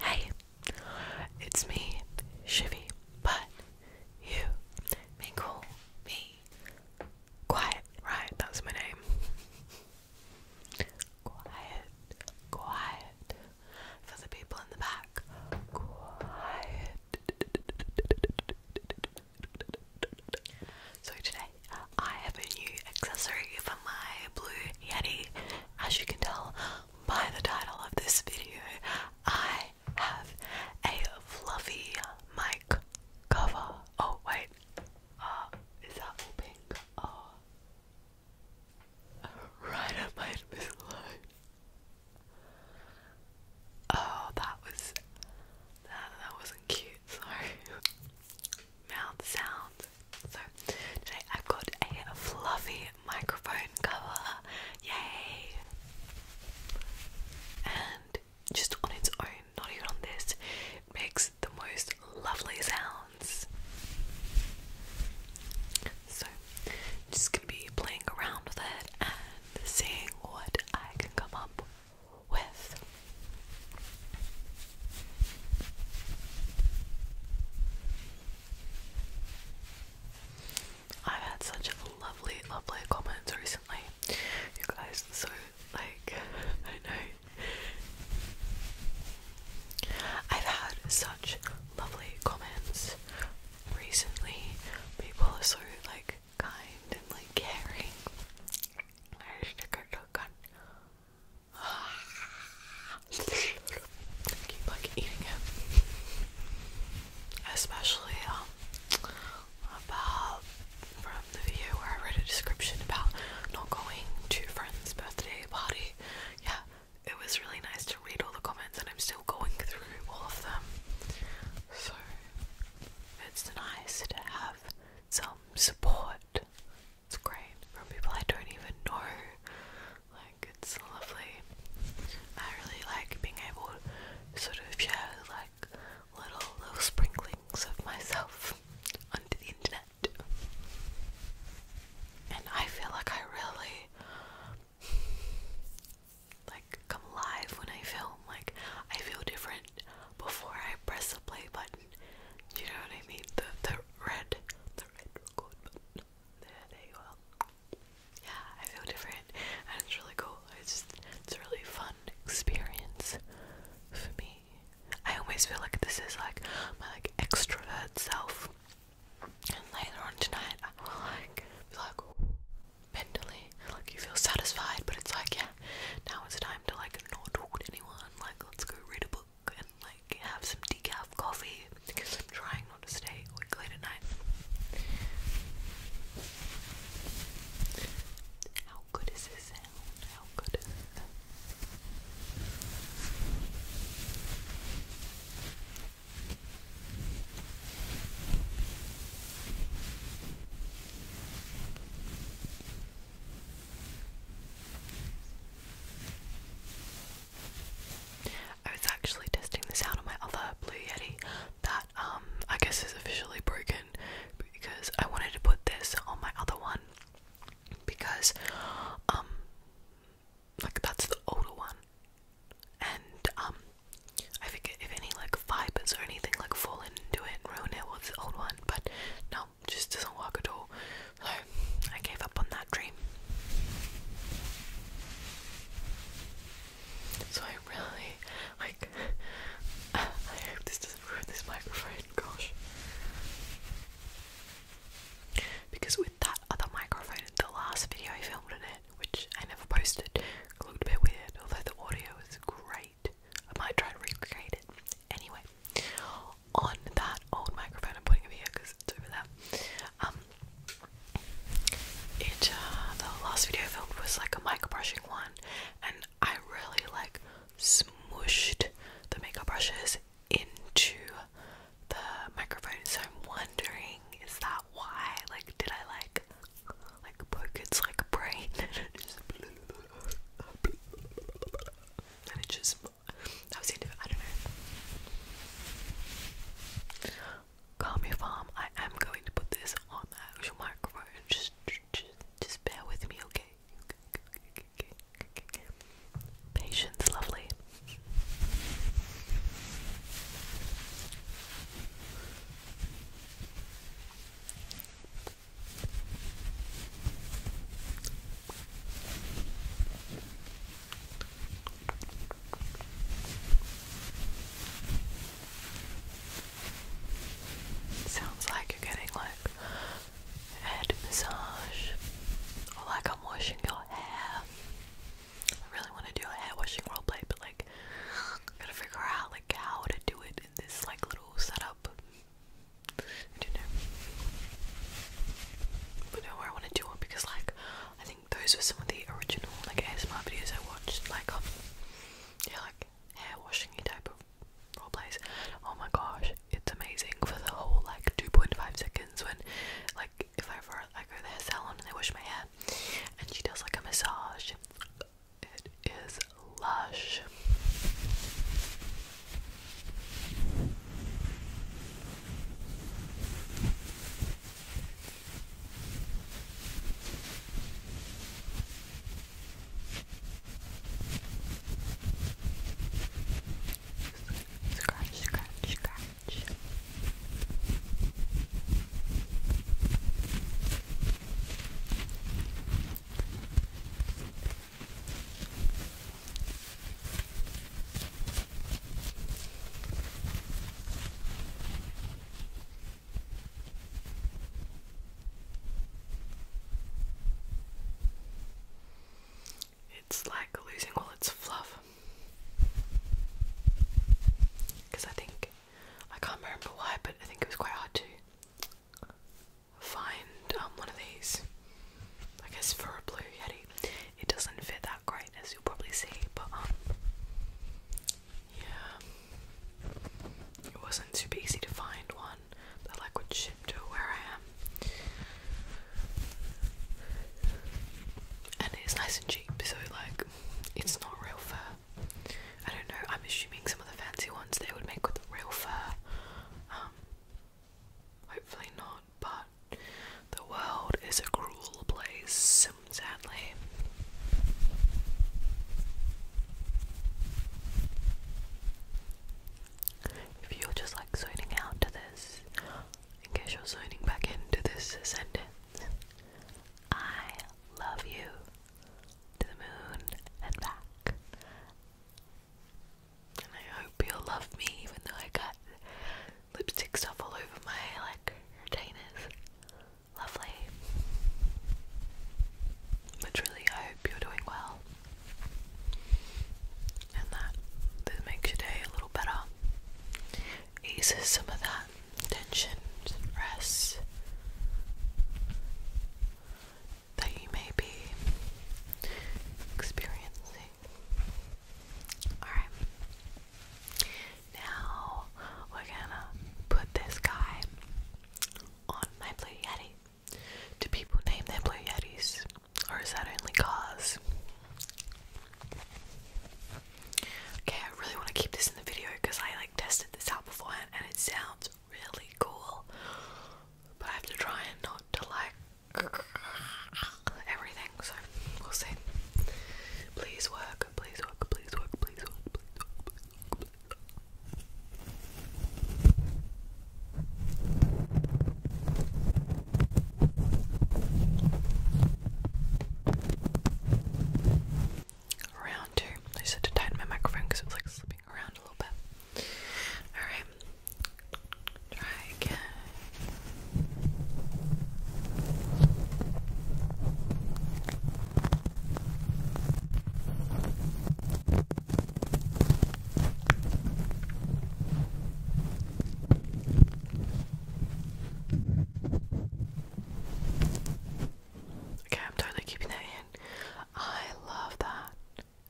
Hey, it's me, Shivy, but you may call me Quiet, right? That's my name. Quiet, quiet, for the people in the back. Quiet. So today I have a new accessory for my blue Yeti. As you can tell by the title of this video, I have a fluffy mic cover. Oh wait, uh, is that all pink? Oh, right at my misaligned. Oh, that was that that wasn't cute. Sorry. Mouth sound. So today I've got a fluffy microphone cover. Yay! And just on its own, not even on this, makes the most lovely sounds. So I'm just gonna be playing around with it and seeing what I can come up with. I've had such lovely, lovely comments recently. You guys so like I know. I've had such lovely comments recently people are so like kind and like caring. I just took a gun. keep like eating it. Especially um about from the video where I read a description about not going to friend's birthday party. Yeah, it was really nice to read all the comments, and I'm still going through all of them. So it's nice to have some support. It's great from people I don't even know. Like, it's lovely. I really like being able to sort of share, like, little, little sprinklings of myself onto the internet. And I feel like I really like come alive when I film. Like I feel different before I press the play button. you know what I mean? The the red the red record button. Yeah, I feel different and it's really cool. It's it's a really fun experience for me. I always feel like this is like my like extrovert self and later on tonight, I will like be like mentally, like you feel satisfied, but it's like yeah, now it's time to like not talk to anyone. Like let's go read a book and like have some decaf coffee trying not to stay awake late at night. How good is this sound? How good I was actually testing this out on my other Blue Yeti that um, I guess is officially broken because I wanted to put this on my other one because um, like that's the older one and um I forget if any like fibers or anything like fall into it and ruin it was the old one but no just doesn't work at all so I gave up on that dream so I really like I hope this doesn't ruin this microphone gosh because with that other microphone, the last video I filmed in it, which I never posted, looked a bit weird, although the audio was great. I might try to recreate it. Anyway, on that old microphone, I'm putting it here because it's over there. Um, it uh, the last video I filmed was like a mic brushing one, and I really like smooshed the makeup brushes into the microphone, so I'm wondering is that why? Like, did I like like poke its like a brain and it just and that was the end of it. I don't know. Call me farm. I am going to put this on the actual microphone. Just, just, just bear with me, okay. Patience, lovely. Sounds like you're getting like head massage or like I'm washing your hair. I really want to do a hair washing play, but like, I gotta figure out like how to do it in this like little setup. I don't know. But no, I want to do it because like, I think those were some of the original like ASMR videos I watched. Like, um, yeah, like hair washing type of roleplays. Oh my gosh, it's amazing for the whole like 2.5 seconds when like if I ever I go to the hair they wash my hair and she does like a massage. It is lush. Scratch, scratch, scratch. It's like losing all its fluff because I think I can't remember why, but I think it was quite hard to find um, one of these. I guess for a blue yeti, it doesn't fit that great, as you'll probably see. But um, yeah, it wasn't super easy to find one that like would ship to where I am. And it's nice and cheap so like it's not real fur. I don't know, I'm assuming some of the fancy ones they would make with real fur. Um, hopefully not, but the world is a cruel place, sadly. If you're just like zoning out to this, in case you're signing back into this sentence. I love you to the moon and back. And I hope you'll love me even though I got lipstick stuff all over my like retainers. Lovely. But truly I hope you're doing well. And that this makes your day a little better eases some of that tension and rest that you may be experiencing. Alright, now we're gonna put this guy on my Blue Yeti. Do people name their Blue Yetis? Or is that only cars? Okay, I really want to keep this in the video because I like tested this out beforehand and it sounds really cool. But I have to try and not to like everything, so we'll see. Please work, please work, please work, please work, please work, please work. Round two. I just had to tighten my microphone because it was like slipping around a little bit. Alright. Try again. Okay, I'm totally keeping that in. I love that.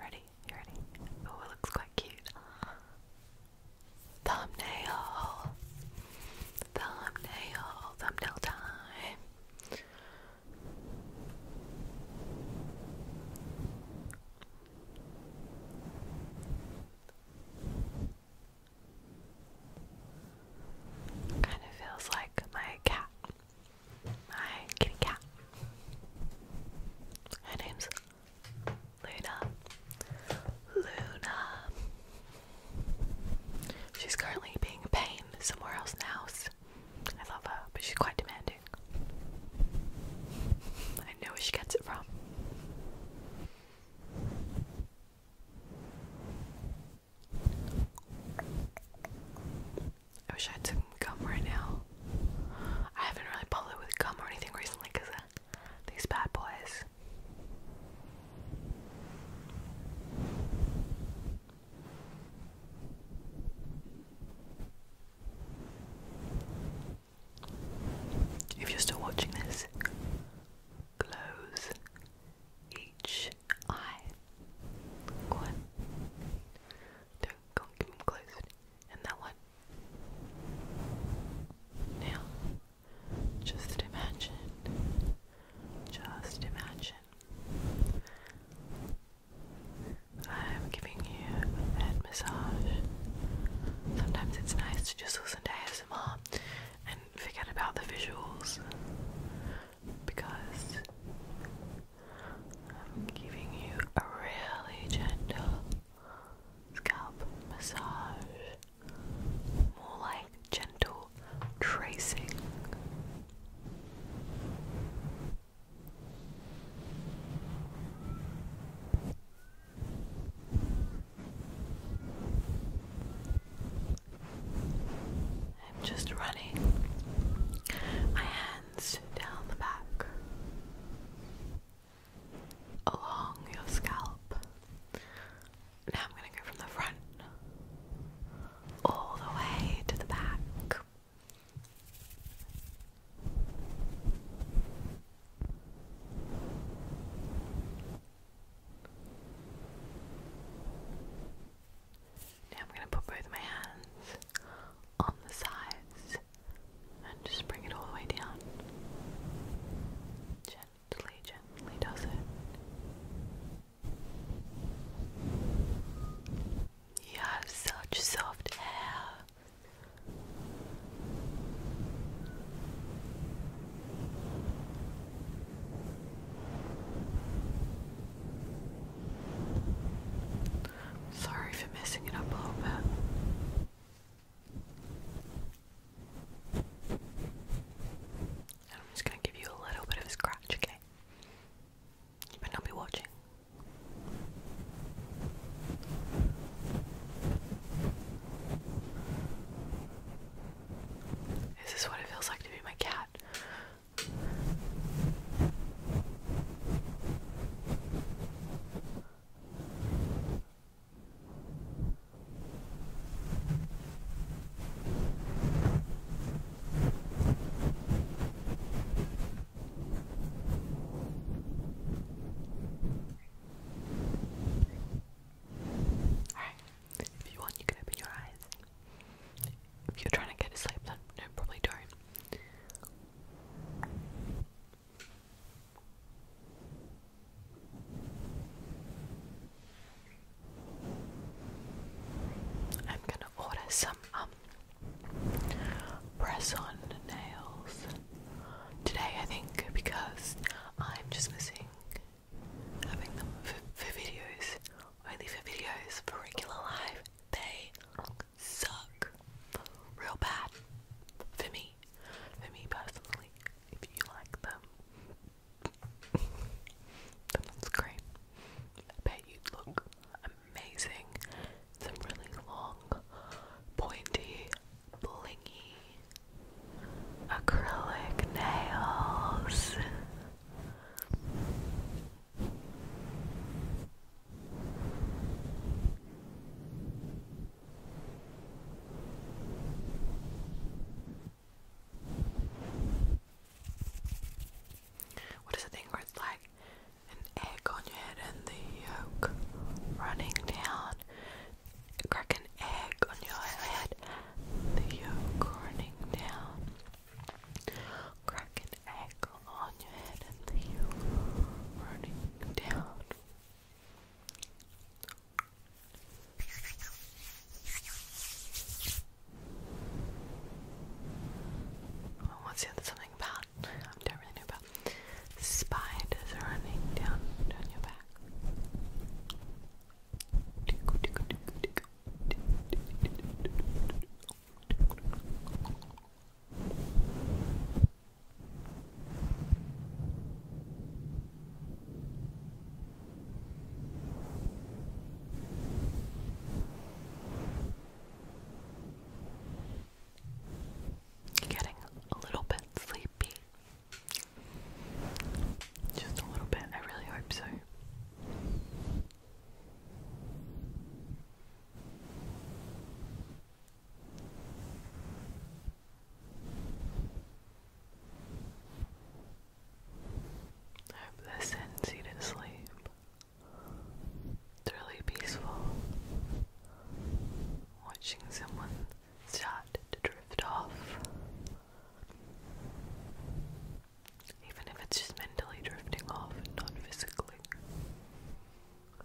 Ready? You ready? Oh, it looks quite cute. Thumbnail. Thumbnail. Thumbnail time. Kind of feels like my cat, my kitty cat. Her name's Luna. Luna. She's currently being a pain somewhere else in the house. I love her, but she's quite demanding. I know where she gets it from. I wish I had some gum right now. I haven't really bothered with gum or anything recently because these bad boys. If you're still watching this, close each eye. One, two, go keep them closed. And that one. Now, just imagine, just imagine. I'm giving you a massage. Sometimes it's nice to just listen to and forget about the visuals because I'm giving you a really gentle scalp massage, more like gentle tracing. I'm just running my hands down the back along your scalp. Now I'm going to go from the front all the way to the back. Now I'm going to put both my hands on the sides and just bring it all the way down. Gently, gently does it. You have such soft hair. Sorry for messing it up a little bit. I'm just going to give you a little bit of a scratch, okay? You might not be watching. Is this what it feels like to be my cat? Alright, if you want, you can open your eyes. If you're trying to get to sleep, then no, probably don't. I'm gonna order some um press on nails today, I think, because I'm just missing having them for, videos. Only for videos, for regular life, they suck real bad for me, for me personally. If you like them, then that's great. I bet you'd look amazing. Some really long, pointy blingy acrylic nails. What is the thing where it's like an egg on your head and the yolk running down crack an egg on your head, the yolk running down. Crack an egg on your head and the yolk running down. Oh, what's the other something about? I don't really know about spiders running down down your back. Getting a little bit sleepy. Just a little bit, I really hope so. I hope this sends to sleep. It's really peaceful watching someone start to drift off. Even if it's just mentally drifting off and not physically.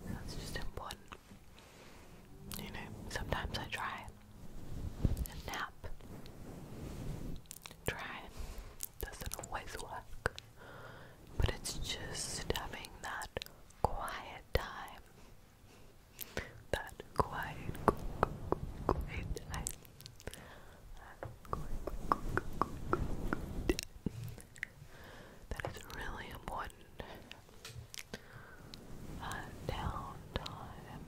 That's just important. You know, sometimes I try a nap. Try. Doesn't always work. But it's just having that quiet time that quiet, quiet That is really important. That downtime.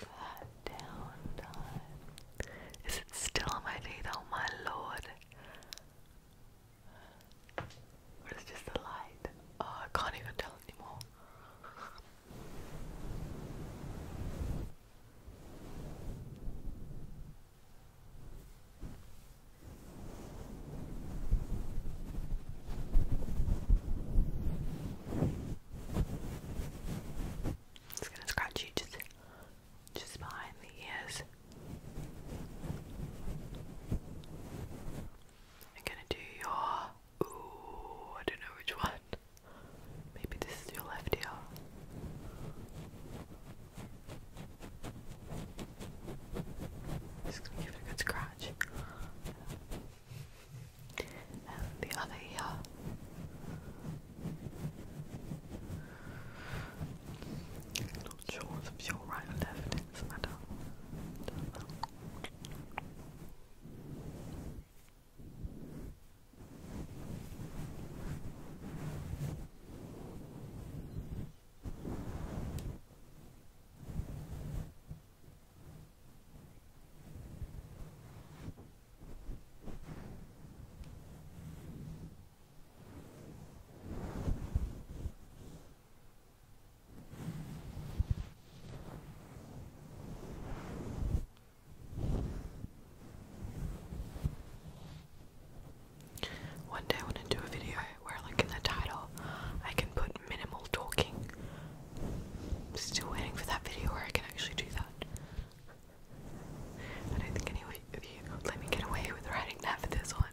That downtime. Is it still my teeth? Oh my lord. It's just the light? Oh, I can't even tell anymore. It's gonna scratch you just just behind the ears. I'm gonna do your. Ooh, I don't know which one. Maybe this is your left ear. Just gonna give it a good scratch. And the other ear not sure if you right or left, Doesn't matter. One day I want to do a video where, like in the title, I can put minimal talking. still waiting for that video where I can actually do that. I don't think any of you let me get away with writing that for this one.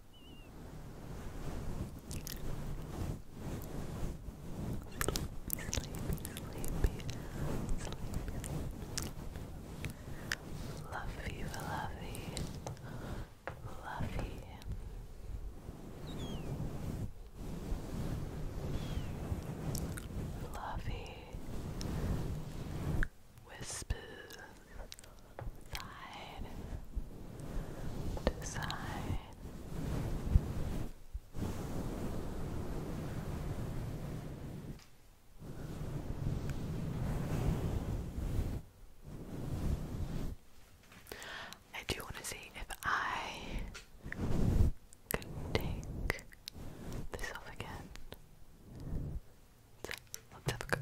Luffy, Luffy, Luffy. Fluffy whispers side to side I do want to see if I can take this off again. let's have a go.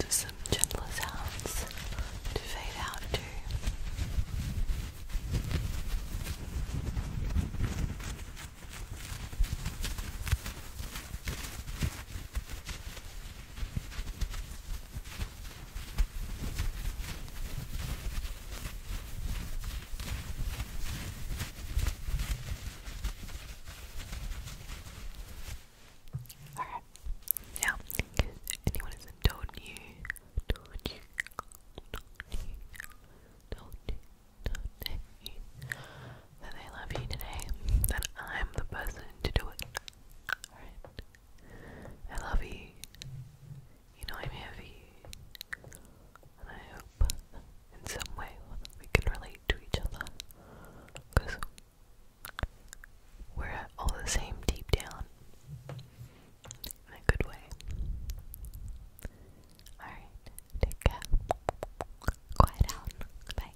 Just some gentler sounds to fade out to. Alright, now, anyone has told you, told you, told you, told you, told you, that they love you today, then I'm the person to do it. I love you. You know I'm heavy. And I hope in some way we can relate to each other. Because we're all the same deep down. In a good way. Alright. Take care. Quiet out. Bye.